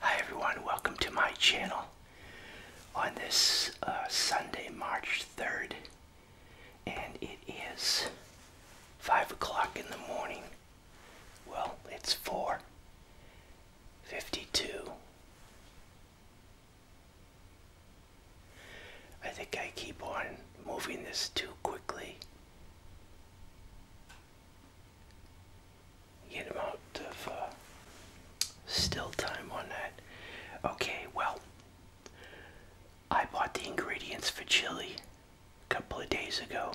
Hi everyone, welcome to my channel. On this uh, Sunday, March 3rd, and it is 5 o'clock in the morning. Well, it's 4.52. I think I keep on moving this too quickly. Get him out of uh, still time on that. Okay, well, I bought the ingredients for chili a couple of days ago,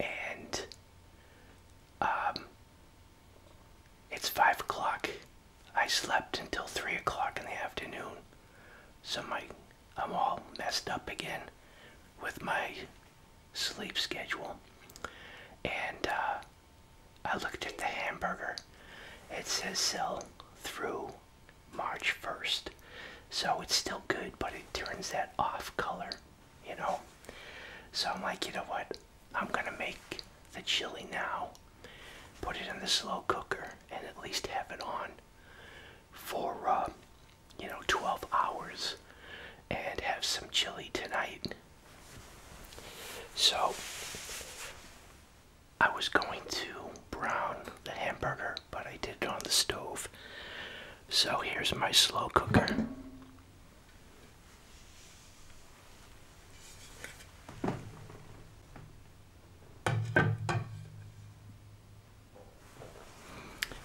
and um, it's five o'clock. I slept until three o'clock in the afternoon, so my I'm all messed up again with my sleep schedule. And uh, I looked at the hamburger. It says sell through March 1st. So it's still good, but it turns that off color, you know? So I'm like, you know what? I'm gonna make the chili now, put it in the slow cooker, and at least have it on for uh, you know, 12 hours and have some chili tonight. So, I was going to brown the hamburger, but I did it on the stove. So, here's my slow cooker.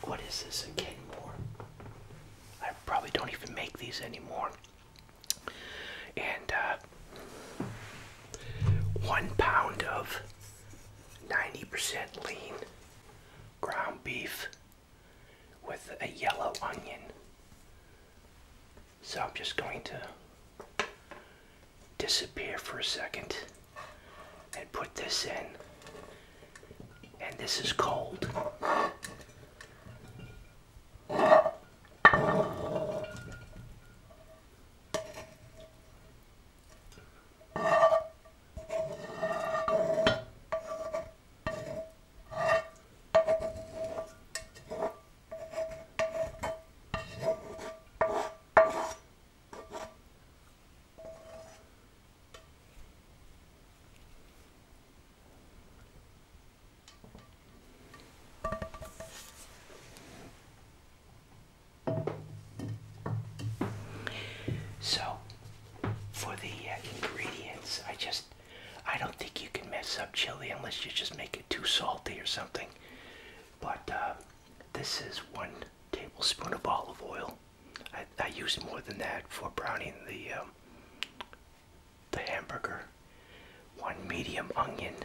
What is this? again, Kenmore? I probably don't even make these anymore. And uh, one pound of 90% lean ground beef with a yellow onion. So I'm just going to disappear for a second and put this in and this is cold. So, for the uh, ingredients, I just, I don't think you can mess up chili unless you just make it too salty or something. But uh, this is one tablespoon of olive oil, I, use more than that for browning the um, the hamburger. One medium onion,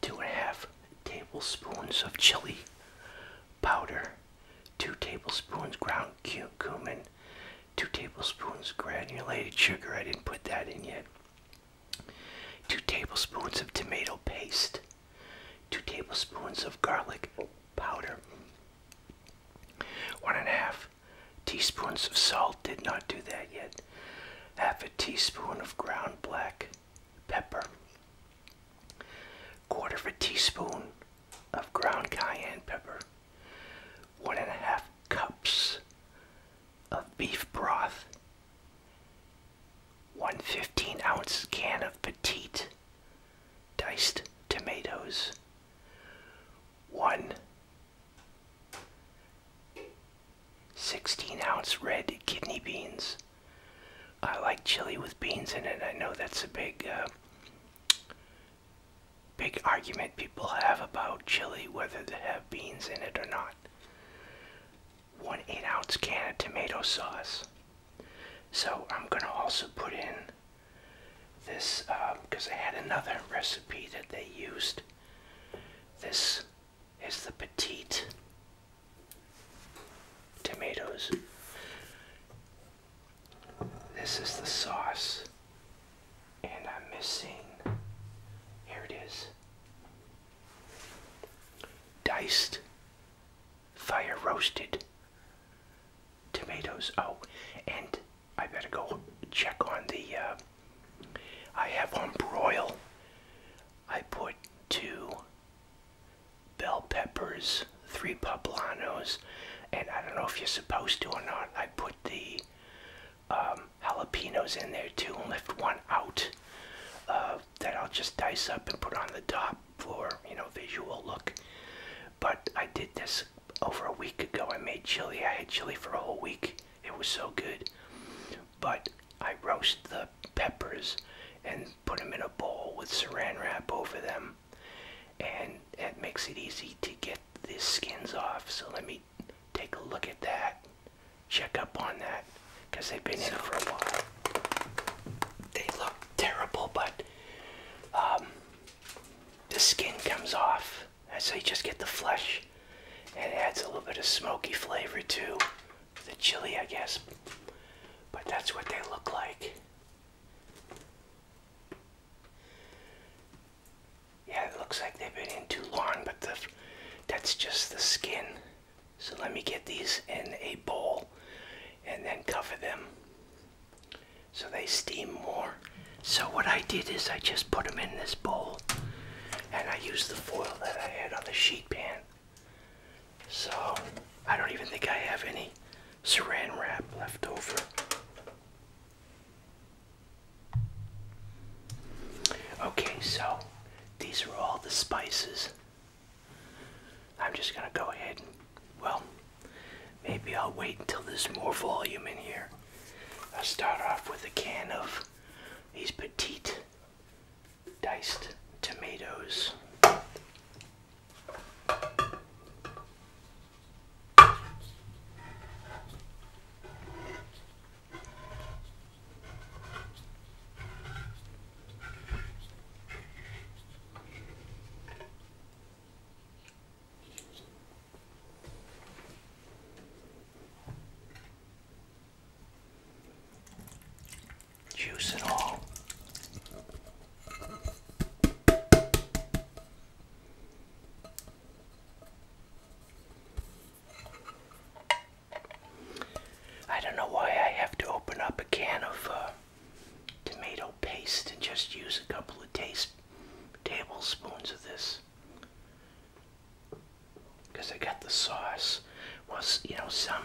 two and a half tablespoons of chili powder, two tablespoons ground cumin, two tablespoons granulated sugar. I didn't put that in yet. Two tablespoons of tomato paste. 2 tablespoons of garlic powder, 1 teaspoons of salt, did not do that yet, half a teaspoon of ground black pepper, quarter of a teaspoon of ground cayenne pepper, 1 cups of beef broth, 1 15 ounce can of petite diced tomatoes, one 16 ounce red kidney beans. I like chili with beans in it. I know that's a big, uh, big argument people have about chili, whether they have beans in it or not. One 8 ounce can of tomato sauce. So I'm going to also put in this because um, I had another recipe that they used. This is the petite tomatoes. This is the sauce, and I'm missing. Here it is diced fire roasted tomatoes. Oh, and I better go check on the. Uh, I have on broil. I put two bell peppers, three poblanos, and I don't know if you're supposed to or not. I put the um, jalapenos in there too and left one out uh, that I'll just dice up and put on the top for you know visual look. But I did this over a week ago. I made chili. I had chili for a whole week. It was so good. But I roast the peppers and put them in a bowl with saran wrap over them, and that makes it easy to get the skins off. So let me take a look at that. Check up on that because they've been so, for a while. They look terrible, but um, the skin comes off, so you just get the flesh, and it adds a little bit of smoky flavor to the chili, I guess. But that's what they look like. Yeah, it looks like they've been in too long, but that's just the skin. So let me get these in a bowl and then cover them so they steam more. So what I did is I just put them in this bowl and I used the foil that I had on the sheet pan. So I don't even think I have any saran wrap left over. Okay, so these are all the spices I'm just gonna go ahead and, well, maybe I'll wait until there's more volume in here. I'll start off with a can of these petite diced tomatoes. Juice it all. I don't know why I have to open up a can of uh, tomato paste and just use a couple of taste, tablespoons of this because I got the sauce was you know some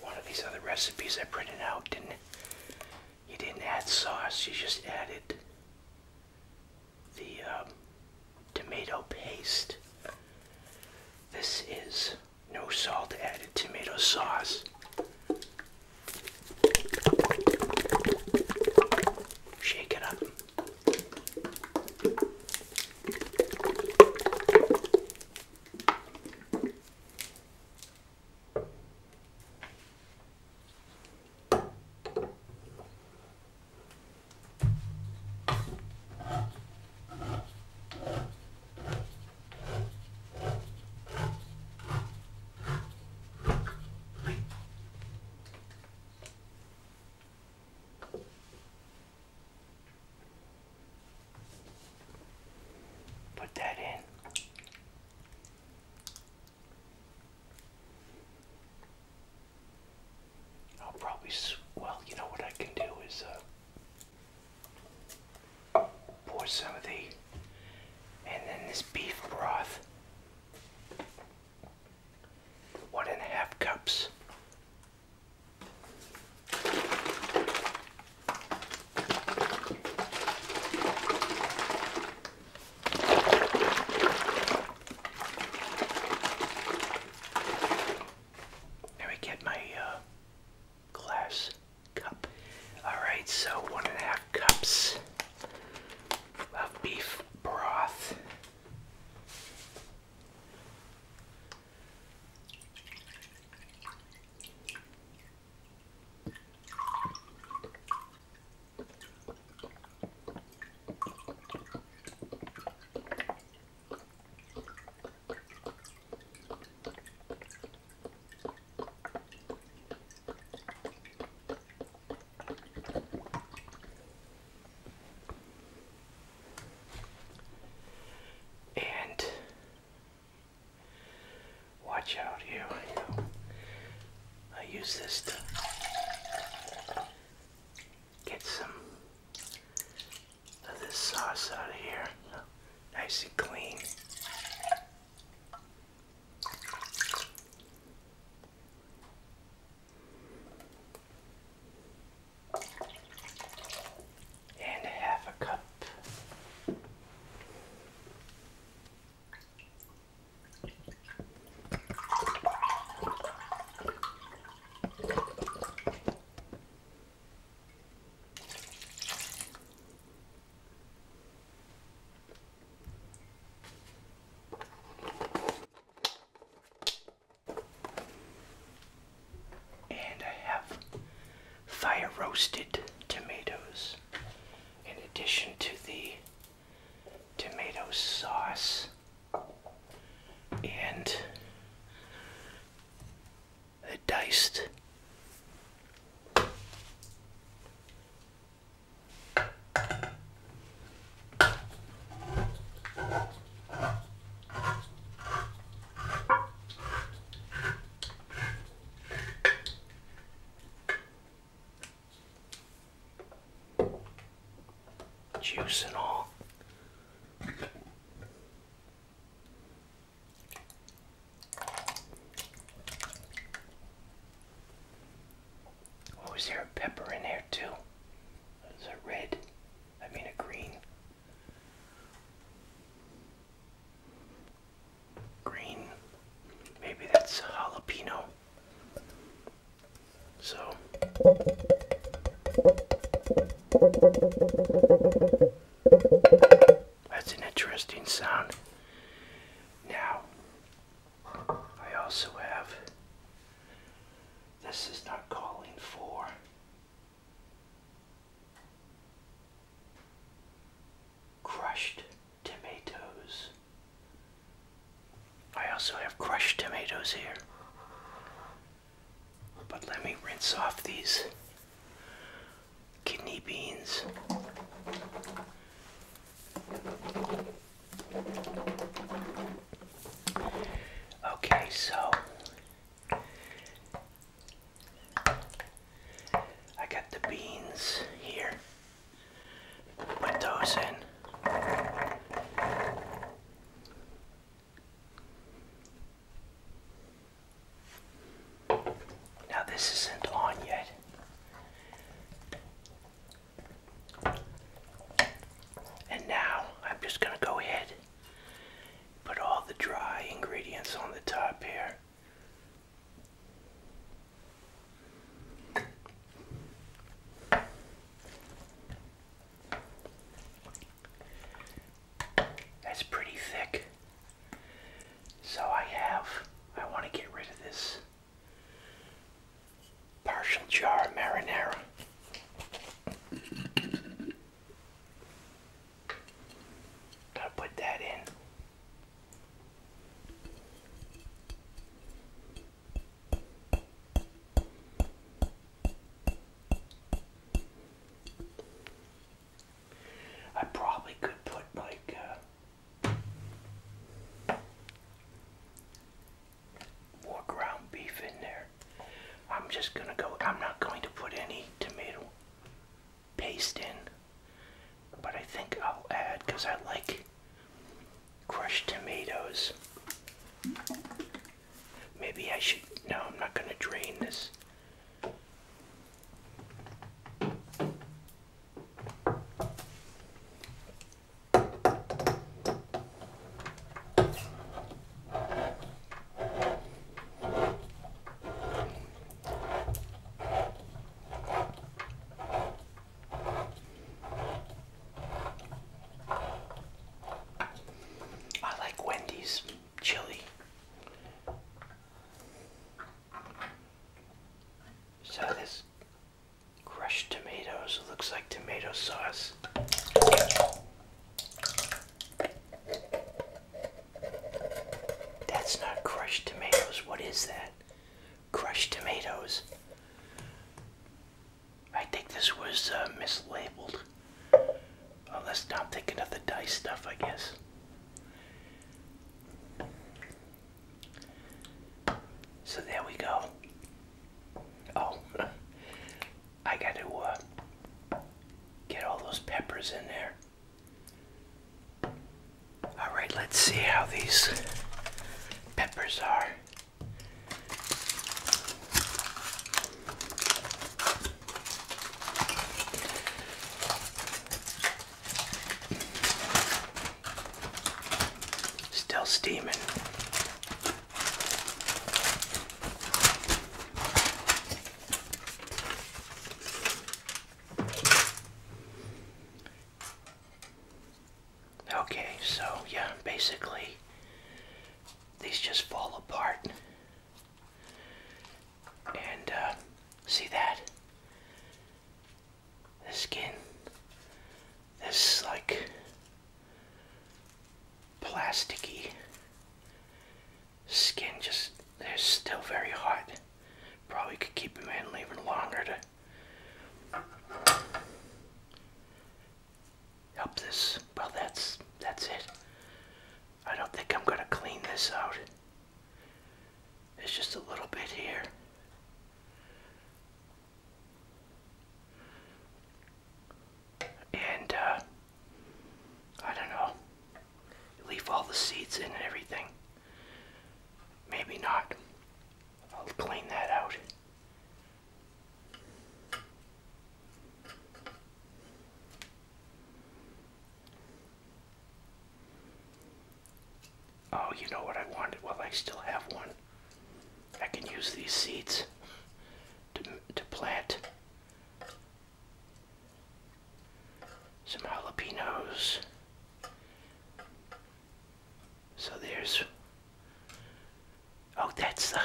one of these other recipes I printed out didn't you didn't add sauce you just added the um, tomato paste this is no salt added, tomato sauce. Shake it up. Put that in. I'll probably, well, you know what I can do is, uh, Pour some of the, and then this beef broth. One and a half cups. Let me get my uh, glass cup. Alright, so one and a half cups of beef broth. And watch out here. I, I use this to get some of this sauce out of here nice and clean. And half a cup. And I have fire roasted tomatoes in addition to the tomato sauce and diced. Juice and all. Oh, is there a pepper in there too? Is a red? I mean a green. Green. Maybe that's jalapeno. So that's an interesting sound. Now, I also have. This is not calling for. Crushed tomatoes. I also have crushed tomatoes here. But let me rinse off these kidney beans. Okay, so I got the beans here. Put those in. Now this isn't on yet. And now I'm just going to go ahead put all the dry ingredients on the top here. That's pretty thick. So I have, I want to get rid of this partial jar of marinara. Gotta put that in. I probably could put like uh, more ground beef in there. I'm just gonna go, I'm not going to put any tomato paste in, but I think I'll add because I like crushed tomatoes. Maybe I should, no, I'm not gonna drain this. I like Wendy's chili. So this crushed tomatoes looks like tomato sauce. That's not crushed tomatoes. What is that? Crushed tomatoes. I think this was uh, mislabeled. Unless I'm thinking of the diced stuff, I guess. So there we go. Oh, I got to uh, get all those peppers in there. All right, let's see how these peppers are. Still steaming. Okay, so yeah, basically these just fall apart and uh, see that? The skin, this like plasticky skin, just they're still very hot. Probably could keep them in even longer to help this. Well, that's that's it. I don't think I'm gonna clean this out. It's just a little bit here. And, uh, I don't know. Leave all the seeds in and everything. Maybe not. I'll clean that out. Oh, you know what I wanted? Well, I still have one. I can use these seeds to, to plant some jalapenos. So there's. Oh, that's the.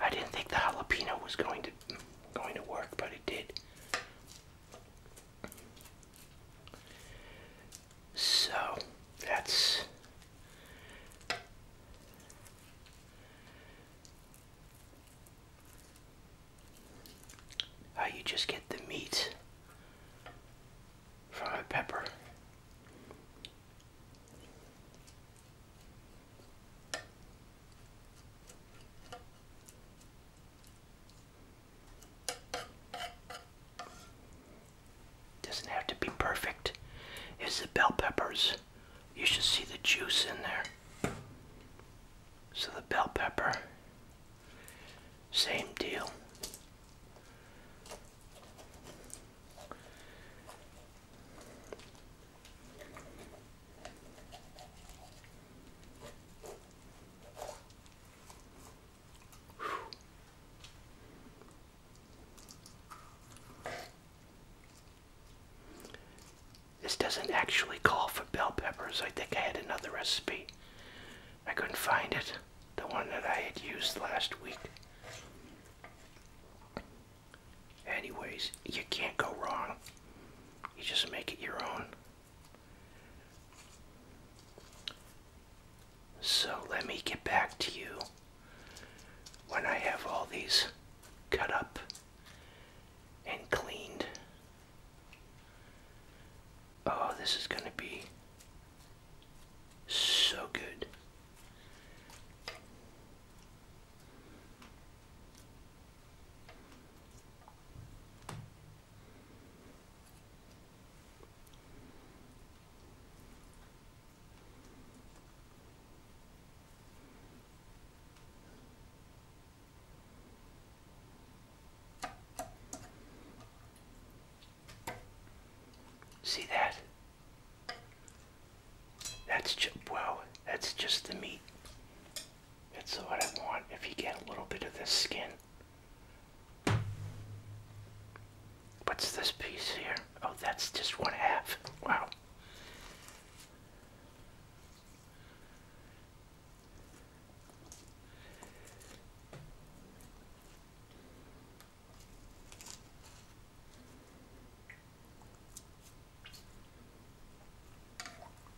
I didn't think the jalapeno was going to going to work, but it did. So that's how you just get the meat from a pepper. Doesn't have to be perfect. It's the bell peppers. You should see the juice in there. So the bell pepper, same deal. This doesn't actually call for bell peppers. I think I had another recipe. I couldn't find it. The one that I had used last week. Anyways, you can't go wrong. You just make it your own. So let me get back to you when I have all these cut up and cleaned. Oh, this is going to be so good. See that? That's just, wow, that's just the meat. That's what I want if you get a little bit of this skin. What's this piece here? Oh, that's just one half. Wow.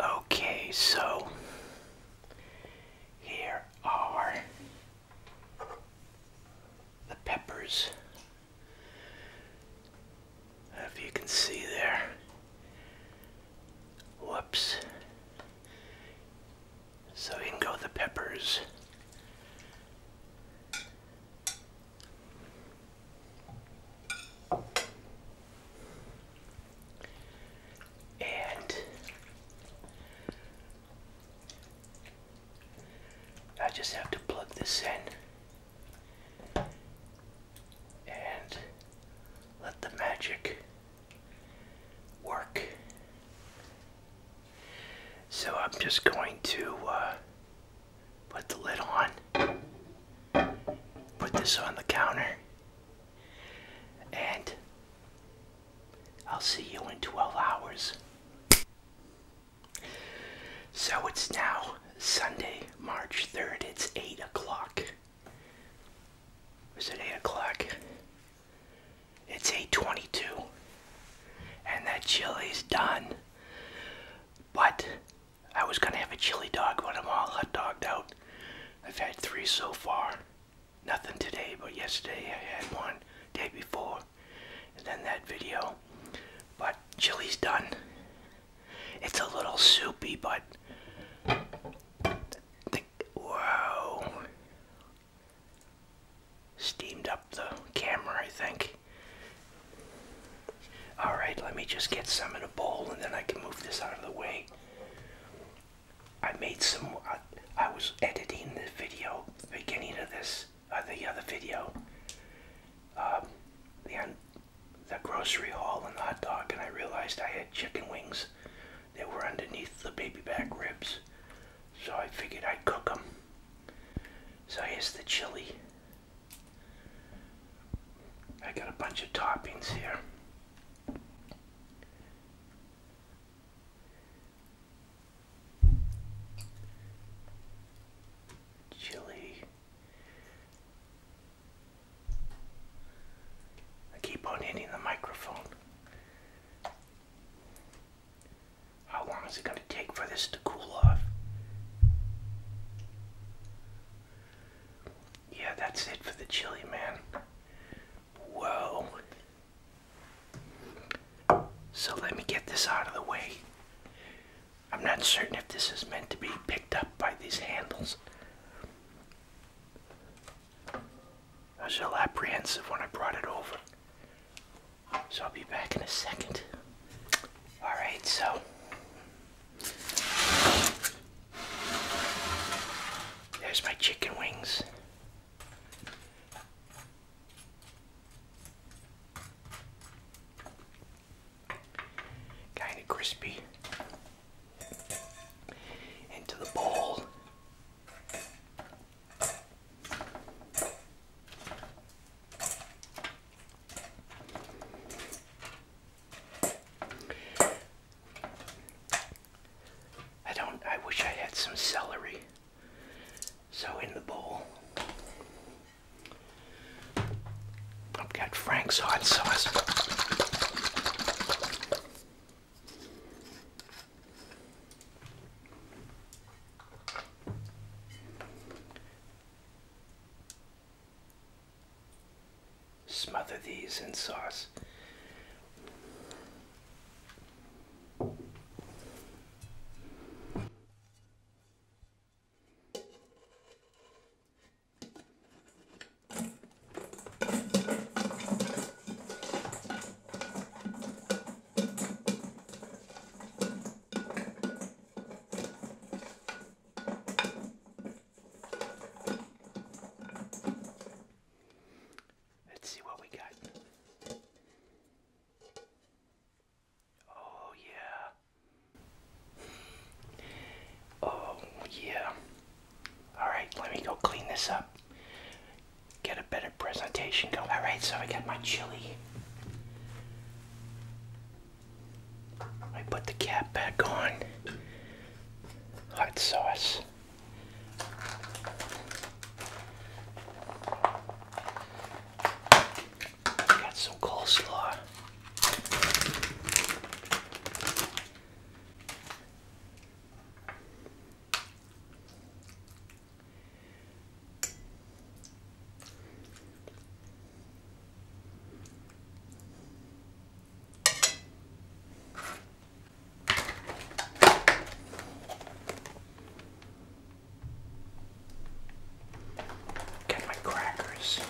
Okay, so here are the peppers. If you can see there. Whoops. So can go the peppers. And I just have to plug this in and let the magic work. So I'm just going to uh, Put the lid on. Put this on the counter. And I'll see you in 12 hours. So it's now Sunday, March 3rd. It's 8 o'clock. Is it 8 o'clock? It's 8.22. And that chili's done. But I was gonna have a chili dog, but I'm all hot dogged out. I've had three so far. Nothing today, but yesterday I had one, day before, and then that video. But chili's done. It's a little soupy, but whoa, steamed up the camera, I think. All right, let me just get some in a bowl and then I can move this out of the way. I made some, I, was editing the video, beginning of this, uh, the other video, um, the, the grocery haul and the hot dog, and I realized I had chicken wings that were underneath the baby back ribs. So I figured I'd cook them. So here's the chili. I got a bunch of toppings here. Chili. I keep on hitting the microphone. How long is it going to take for this to cool off? Yeah, that's it for the chili, man. Whoa. So let me get this out of the way. I'm not certain if this is meant to be picked up by these handles. I was a little apprehensive when I brought it over. So I'll be back in a second. Alright, so there's my chicken wings. Kind of crispy. Into the bowl. I don't, I wish I had some celery. So in the bowl, I've got Frank's hot sauce. Smother these in sauce. Let's see what we got. Oh, yeah. Oh, yeah. Alright, let me go clean this up. Get a better presentation going. Alright, so I got my chili. I put the cap back on. Hot sauce. Got some coleslaw. Get my crackers.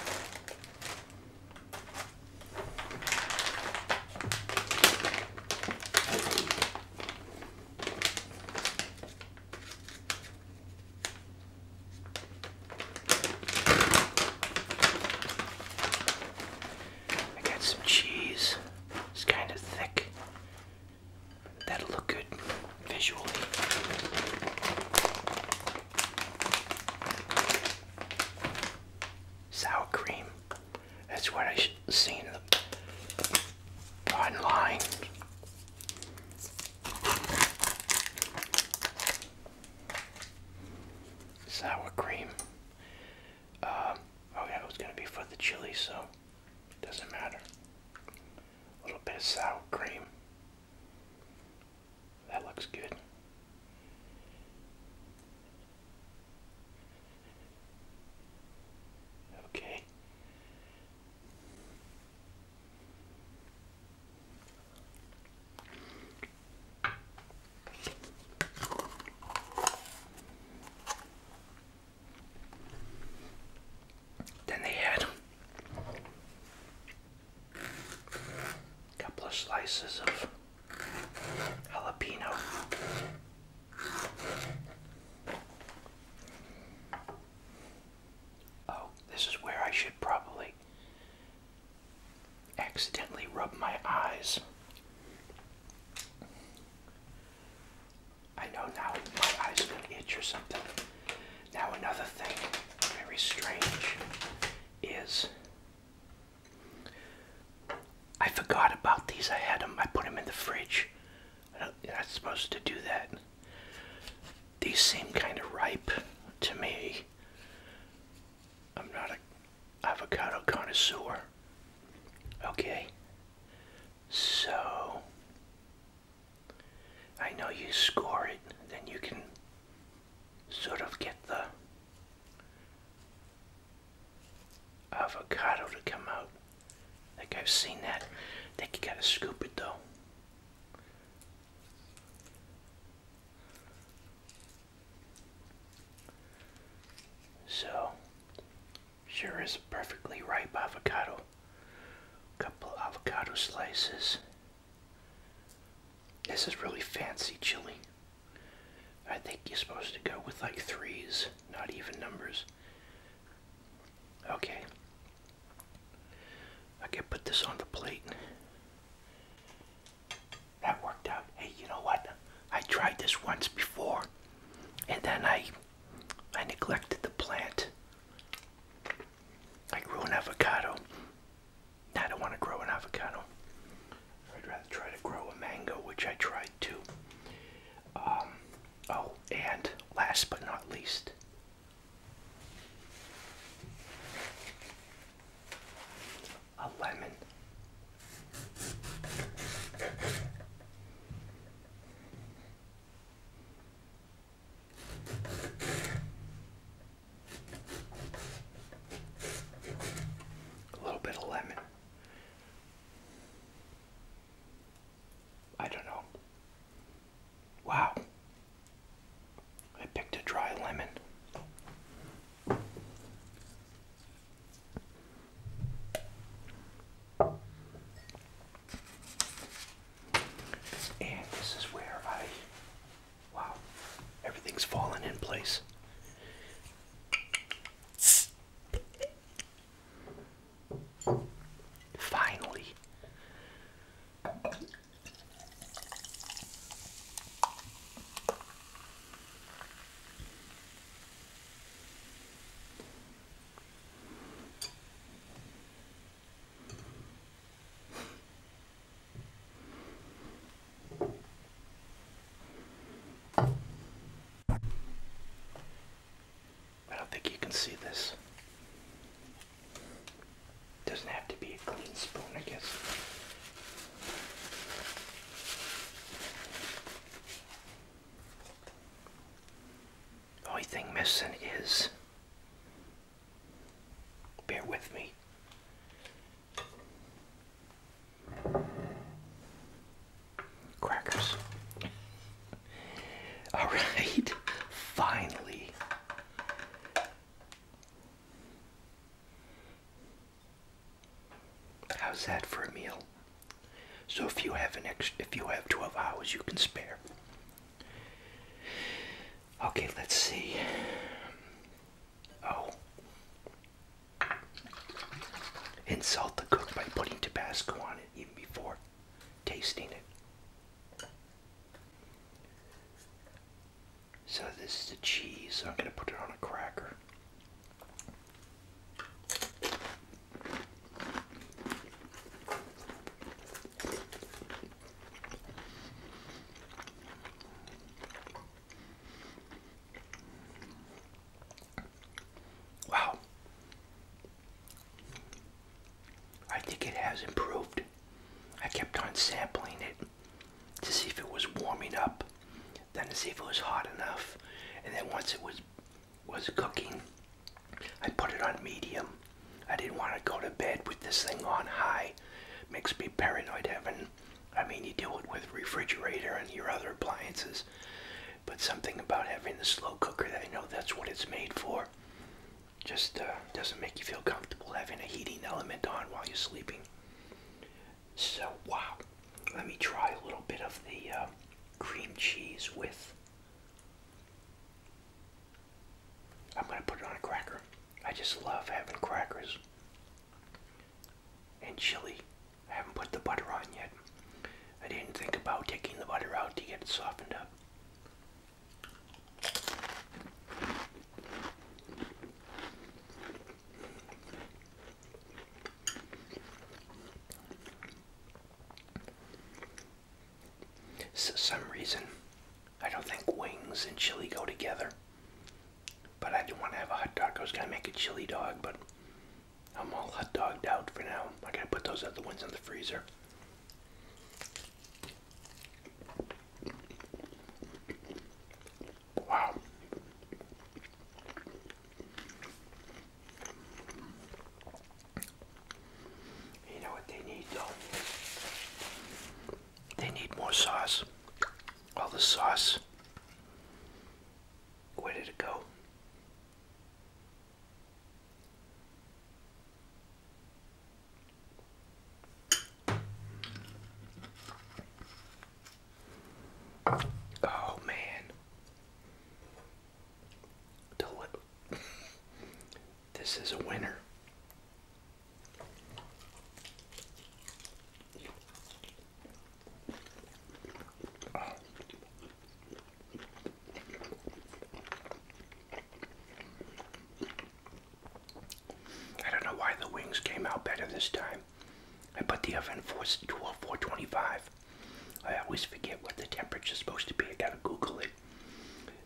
I got some cheese. It's kind of thick. That'll look good visually. Sour cream. That's what I have seen online sour cream. Uh, oh yeah, it was gonna be for the chili, so it doesn't matter. A little bit of sour cream. That looks good. Okay. Then they had a couple of slices of jalapeno. Oh, this is where I should probably accidentally rub my eyes. I know now my eyes feel itch or something. Now another thing very strange is I forgot about these. I had them. I put them in the fridge. I'm not supposed to do that. These seem kind of ripe to me. I'm not a avocado connoisseur. Okay. So I know you score it, then you can sort of get the avocado to come out. I think I've seen that. think you gotta scoop it though. So, sure is a perfectly ripe avocado. Couple avocado slices. This is really fancy chili. I think you're supposed to go with like threes, not even numbers. Okay, I can put this on the plate. That worked out. Hey, you know what? I tried this once before, and then I I neglected the plant. I grew an avocado. I don't want to grow an avocado. I'd rather try to grow a mango, which I tried too. Um, oh, and last but not least, a lemon. A little bit of lemon. I don't know. Wow. I picked a dry lemon. And this is where I. Wow. Everything's fallen in place. Finally. I don't think you can see this. Doesn't have to be a clean spoon, I guess. Only thing missing is, bear with me, crackers. All right, finally, How's that for a meal? So if you have an extra, if you have 12 hours you can spare. Okay, let's see. Oh. Insult the cook by putting Tabasco on it even before tasting it. So this is the cheese. I'm going to put it on a cracker. Wow. I think it has improved. I kept on sampling it to see if it was warming up, then to see if it was hot enough, and then once it was was cooking, I put it on medium. I didn't want to go to bed with this thing on high. Makes me paranoid having I mean you do it with refrigerator and your other appliances. But something about having the slow cooker that I know that's what it's made for just uh, doesn't make you feel comfortable having a heating element on while you're sleeping. So, wow. Let me try a little bit of the uh, cream cheese with. I'm going to put it on a cracker. I just love having crackers and chili. I haven't put the butter on yet. I didn't think about taking the butter out to get it softened up. For some reason, I don't think wings and chili go together. But I didn't want to have a hot dog. I was going to make a chili dog, but I'm all hot dogged out for now. I got to put those other ones in the freezer. Wow. You know what they need though? They need more sauce. All the sauce. Where did it go? Oh man. Deli this is a winner. I don't know why the wings came out better this time. I put the oven for 425. I always forget what the temperature is supposed to be. I gotta Google it.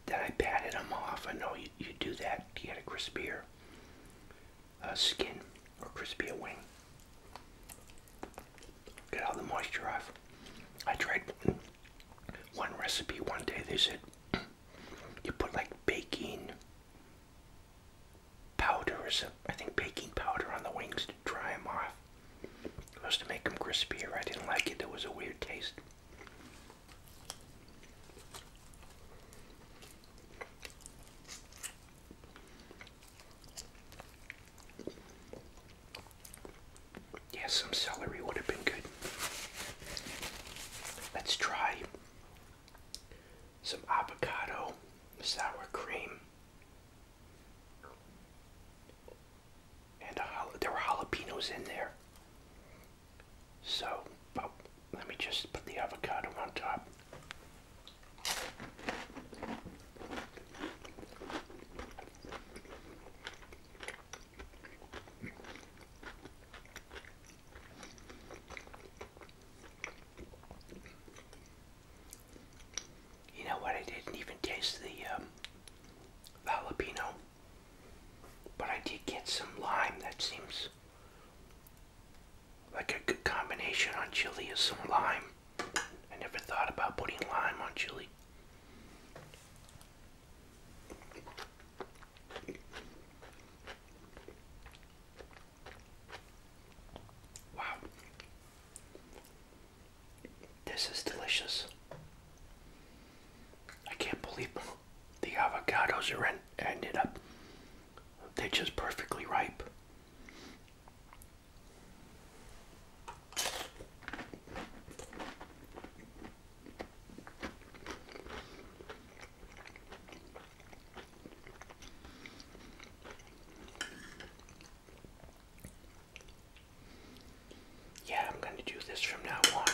Then I patted them off. I know you, you do that to get a crispier uh, skin or crispier wing. Get all the moisture off. I tried one recipe one day. They said you put like baking powder I think baking powder on the wings to dry them off. It was to make them crispier. I didn't like it. It was a weird taste. yeah, some celery would have been good. Let's try some avocado sour cream, and there were jalapenos in there. So, let me just put the avocado on top. You know what? I didn't even taste the um, jalapeno, but I did get some lime. That seems like a good combination on chili is some lime. I never thought about putting lime on chili. Wow. This is delicious. I can't believe the avocados are en ended up. They're just perfectly ripe. Yeah, I'm going to do this from now on.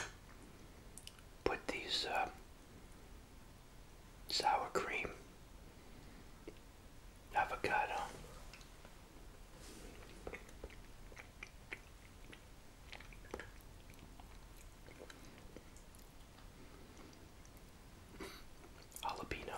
Put these uh, sour cream, avocado, Jalapeno.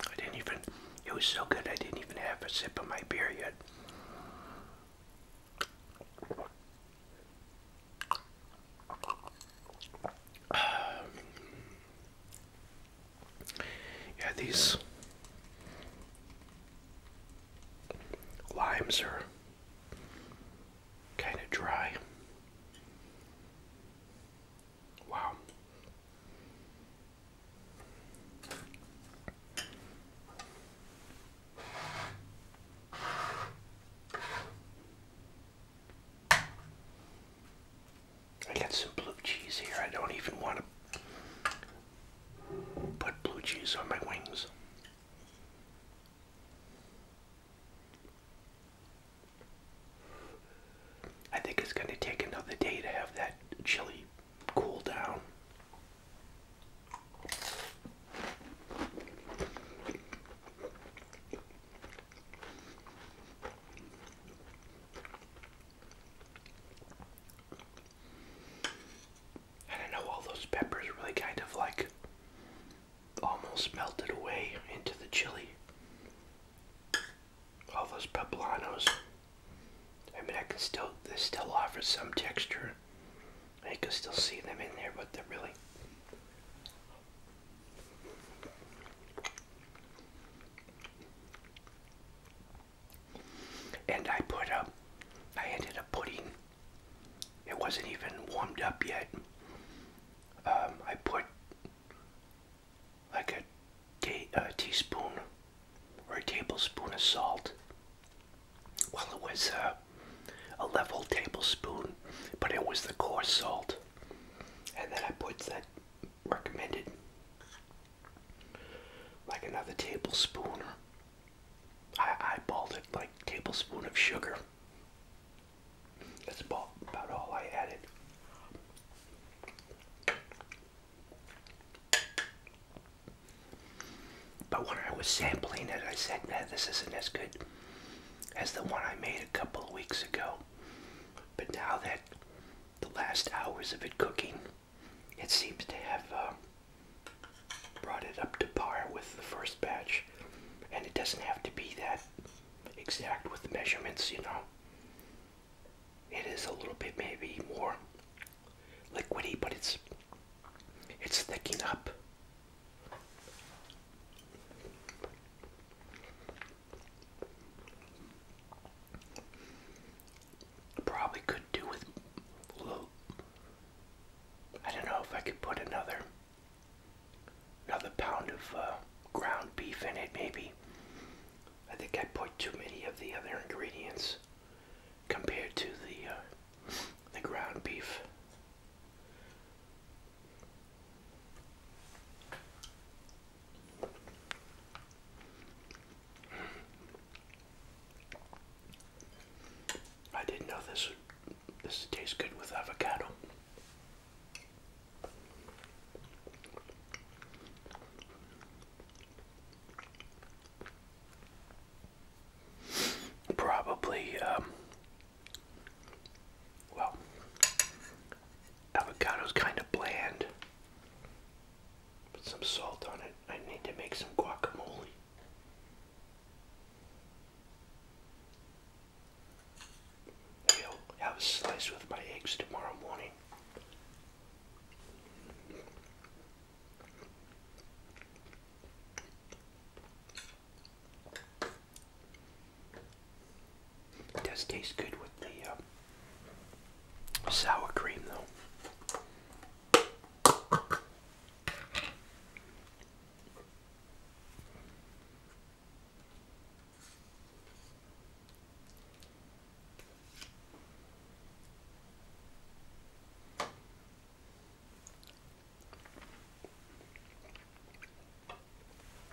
I didn't even, it was so good I didn't even have a sip of my beer yet. Yeah, these limes are kind of dry. Wow. I got some blue cheese here. I don't even want to put blue cheese on my wings. I think it's going to take another day to have that chili cool down. I know, all those peppers really kind of like almost melted away into the chili. All those poblanos. I mean, I can still, they still offer some texture. I can still see them in there, but they're really and I put up, I ended up putting, it wasn't even warmed up yet. Um, I put like a, teaspoon or a tablespoon of salt. Well, it was a level tablespoon, but it was the coarse salt and then I put that recommended like another tablespoon or I eyeballed it like tablespoon of sugar. That's about, about all I added. But when I was sampling it, I said, nah, this isn't as good as the one I made a couple of weeks ago. But now that the last hours of it cooking, it seems to have uh, brought it up to par with the first batch. And it doesn't have to be that exact with the measurements, you know. It is a little bit maybe more liquidy, but it's it's thickening up. Probably could do with low. I don't know if I could put another another pound of uh, ground beef in it maybe. I think I put too many of the other ingredients compared to the uh, the ground beef. I didn't know this this would good with avocado. Probably um, well, is kind of bland. Put some salt on it. I need to make some guacamole. I'll have a slice with my eggs tomorrow morning does taste good with the uh, sour cream, though.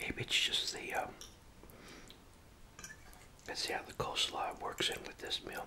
Maybe it's just the, um, let's see how the coleslaw works in with this meal.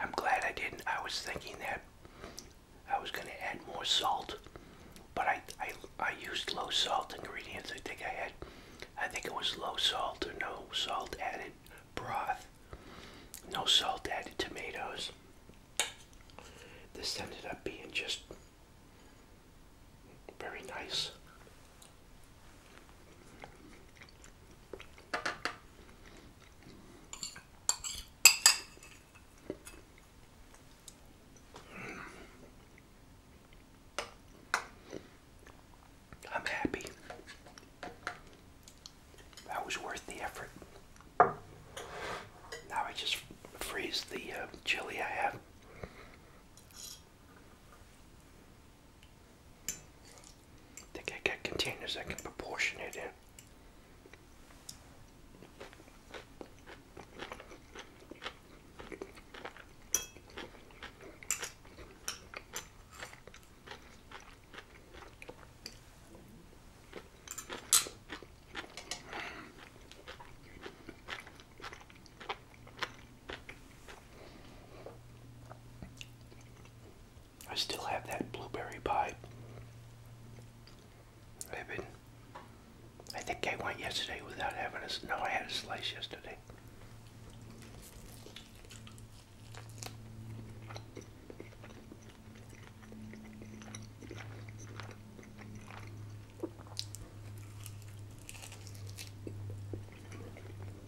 I'm glad I didn't. I was thinking that I was going to add more salt, but I, I, I used low salt ingredients. I think I had, I think it was low salt or no salt added broth, no salt added tomatoes. This ended up being just very nice. I'm happy. That was worth the effort. Now I just freeze the uh, chili I have think I got containers I can proportion it in. I still have that blueberry pie. I've been, I think I went yesterday without having a, no, I had a slice yesterday.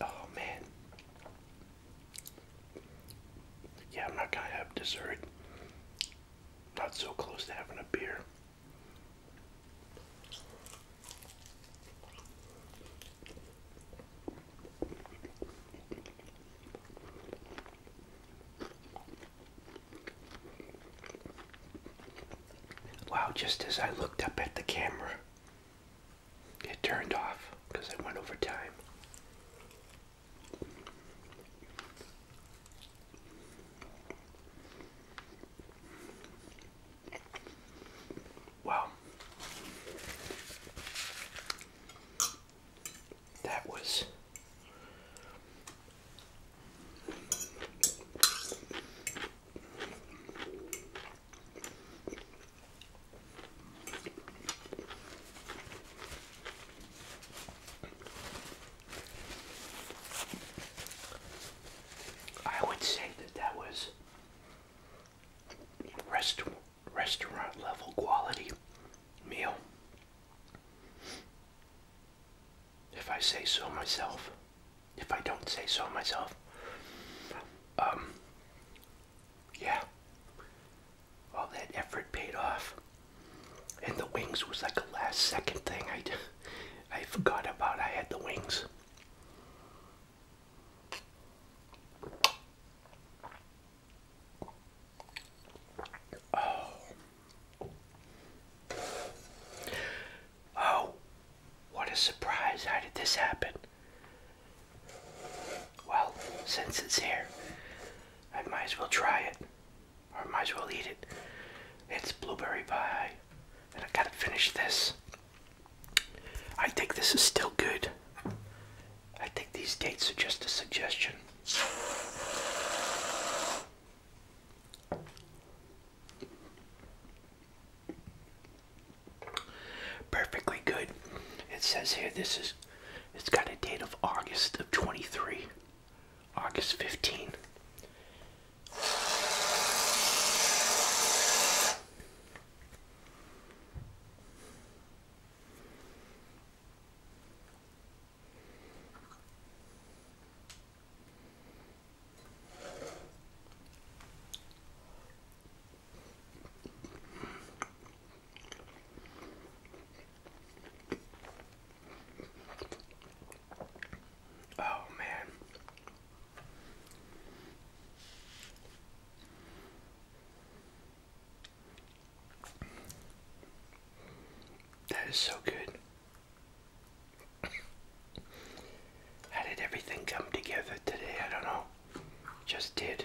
Oh man. Yeah, I'm not gonna have dessert. Not so close to having a beer. Wow, just as I looked up at the camera, it turned off because I went over time. Wow. That was I would say that that was rest restaurant level quality meal, if I say so myself if I don't say so myself. Um, yeah, all that effort paid off, and the wings was like a last second thing. I I forgot about I had the wings. Oh. Oh, what a surprise. How did this happen? Well, since it's here, I might as well try it. Or might as well eat it. It's blueberry pie. And I gotta finish this. I think this is still good. I think these dates are just a suggestion. Perfectly good. It says here this is it's got a date of August of 23. August 15. Oh, man. That is so good. How did everything come together today? I don't know. Just did.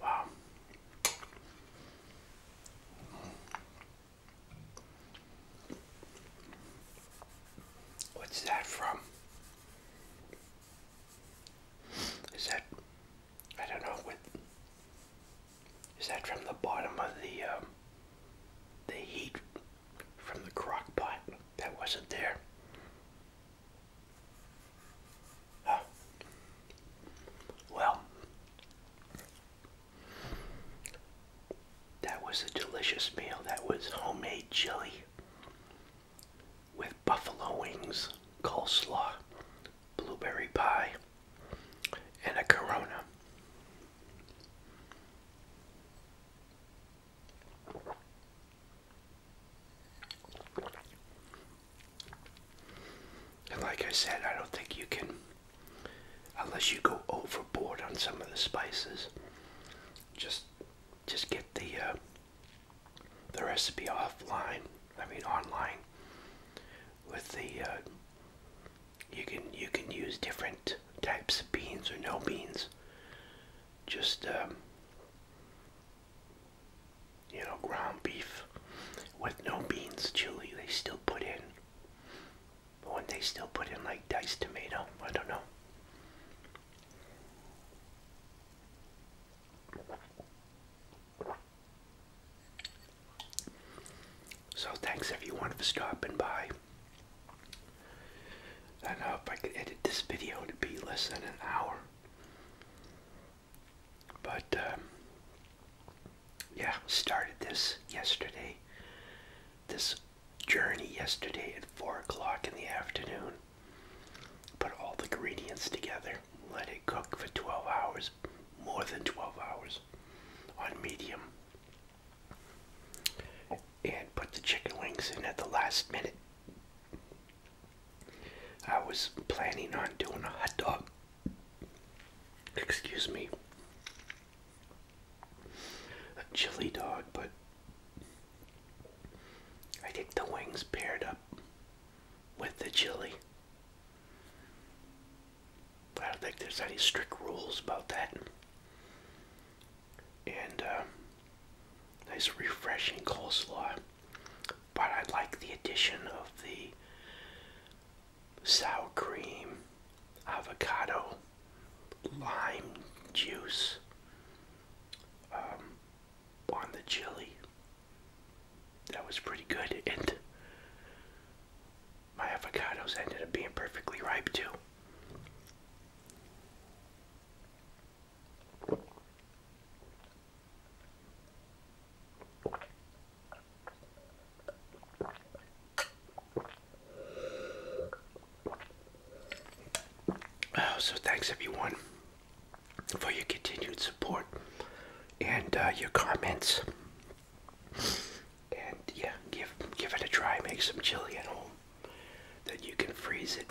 Wow. What's that from? Is that, I don't know, what, is that from the bottom of the, um, the heat from the crock that wasn't there. Well, that was a delicious meal. That was homemade chili with buffalo wings, coleslaw, blueberry pie, and a Corona. And like I said, I don't think you can, unless you go overboard on some of the spices, just just get the uh, the recipe offline. I mean, online with the uh, you can you can use different types of beans or no beans. Just um, you know, ground beef with no beans chili. They still put in. When they still put in like diced tomato, I don't know. So thanks everyone for stopping by. I don't know if I could edit this video to be less than an hour. But, um, yeah, started this yesterday, this journey yesterday at 4 o'clock in the afternoon. Put all the ingredients together, let it cook for 12 hours, more than 12 hours, on medium and put the chicken wings in at the last minute. I was planning on doing a hot dog. Excuse me. A chili dog, but I think the wings paired up with the chili. I don't think there's any strict rules about that. And uh, nice refreshing coleslaw. But I like the addition of the sour cream, avocado, lime juice um, on the chili. That was pretty good my avocados ended up being perfectly ripe too. Oh, so thanks everyone for your continued support and uh, your comments and yeah, give give it a try. Make some chili at home. Then you can freeze it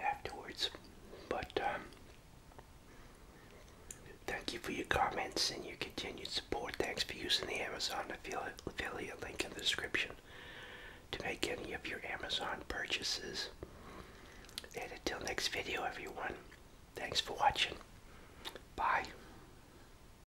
afterwards. But um, thank you for your comments and your continued support. Thanks for using the Amazon affiliate, affiliate link in the description to make any of your Amazon purchases. And until next video, everyone, thanks for watching. Bye.